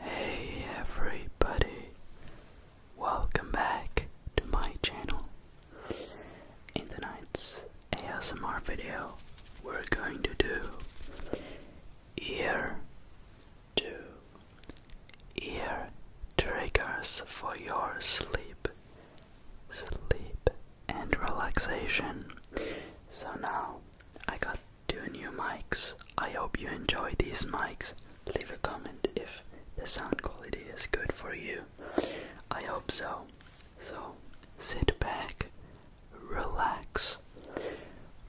Hey everybody, welcome back to my channel. In tonight's ASMR video, we're going to do ear to ear triggers for your sleep sleep, and relaxation. So now I got two new mics. I hope you enjoy these mics. Leave a comment if the sound quality is good for you. I hope so. So sit back, relax,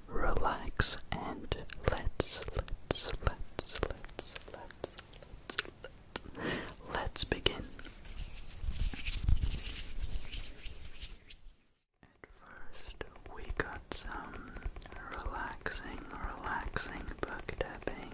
relax, and let's, let's, let's, let's, let's, let's, let's Let's begin. At first, we got some relaxing, relaxing book tapping.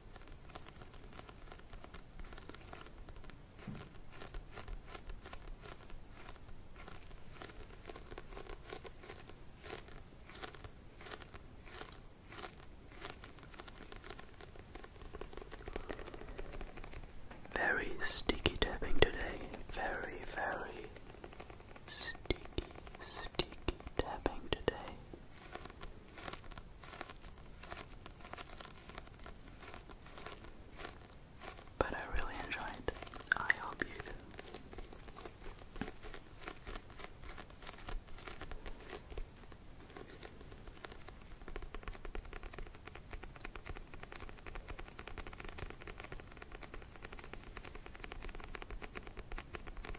Very sticky tapping today. Very, very sticky, sticky tapping today. But I really enjoyed. I hope you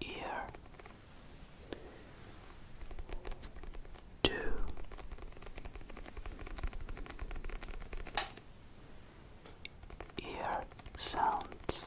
ear two ear sounds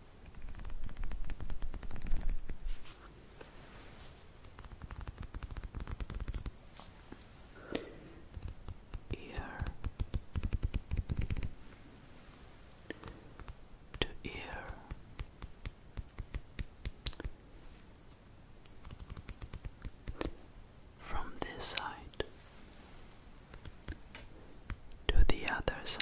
ear to ear from this side to the other side.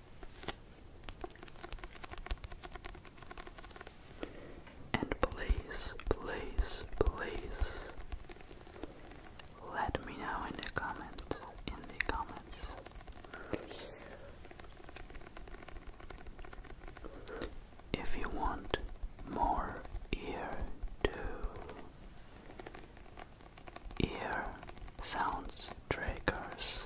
And please, please, please let me know in the comments, in the comments. If you want more ear to ear sounds triggers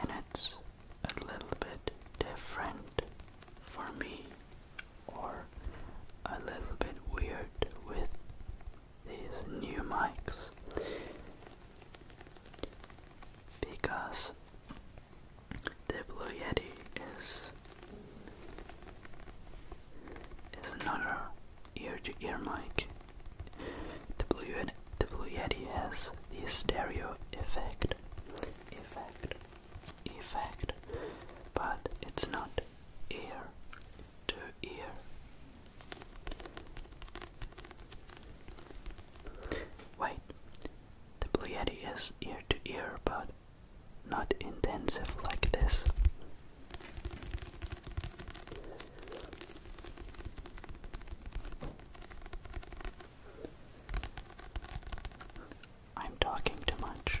and it's a little bit different for me, or a little bit weird with these new mics because the Blue Yeti is it's another ear-to-ear mic. The Blue, the Yeti has the stereo effect, effect, effect, but it's not ear to ear. Wait, the Blue Yeti is ear to ear, but not intensive like this. I'm talking too much.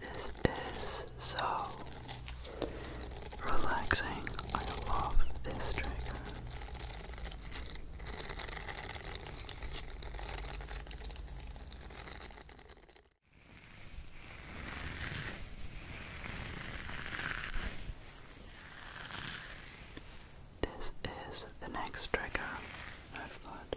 This is so relaxing. I love this trigger. This is the next trigger I've got.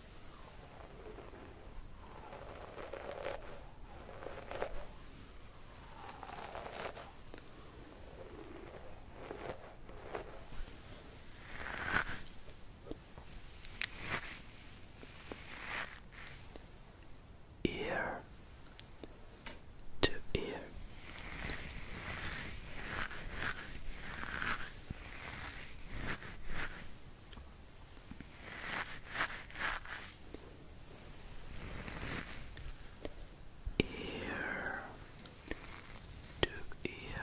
Ear to ear ear to ear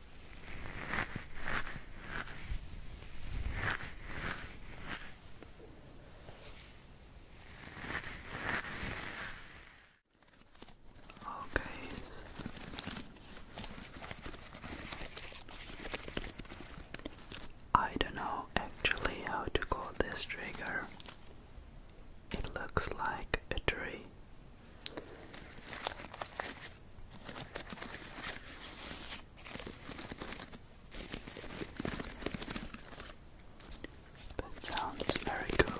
Okay. I don't know actually how to call this trigger. It looks like a tree. That sounds very cool.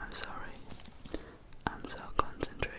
I'm sorry, I'm so concentrated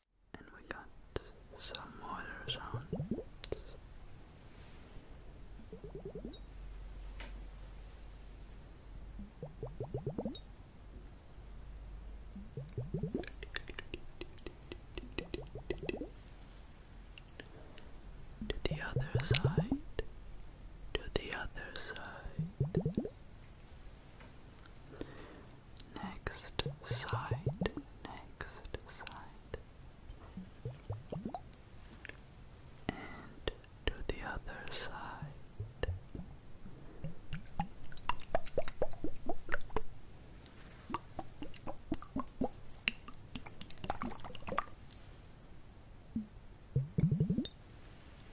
and we got some water on To the other side, to the other side, Next side, next side, and to the other side.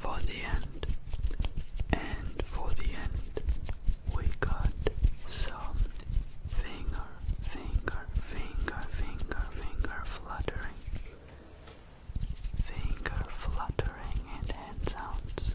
For the end, and for the end, we got some finger, finger, finger, finger, finger fluttering, finger fluttering, and hand sounds.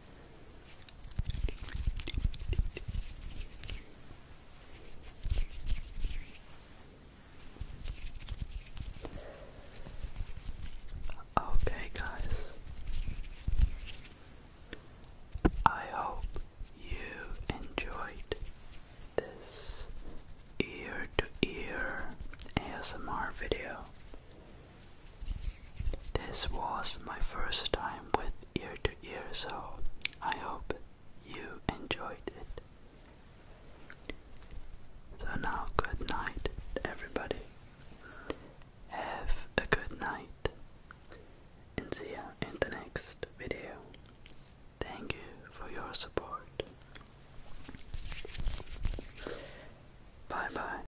Okay, guys, I hope you enjoyed this ear to ear ASMR video. This was my first time with ear to ear, so I hope you enjoyed it. So now, good night, everybody. Have a good night and see you in the next video. Thank you for your support. Bye bye.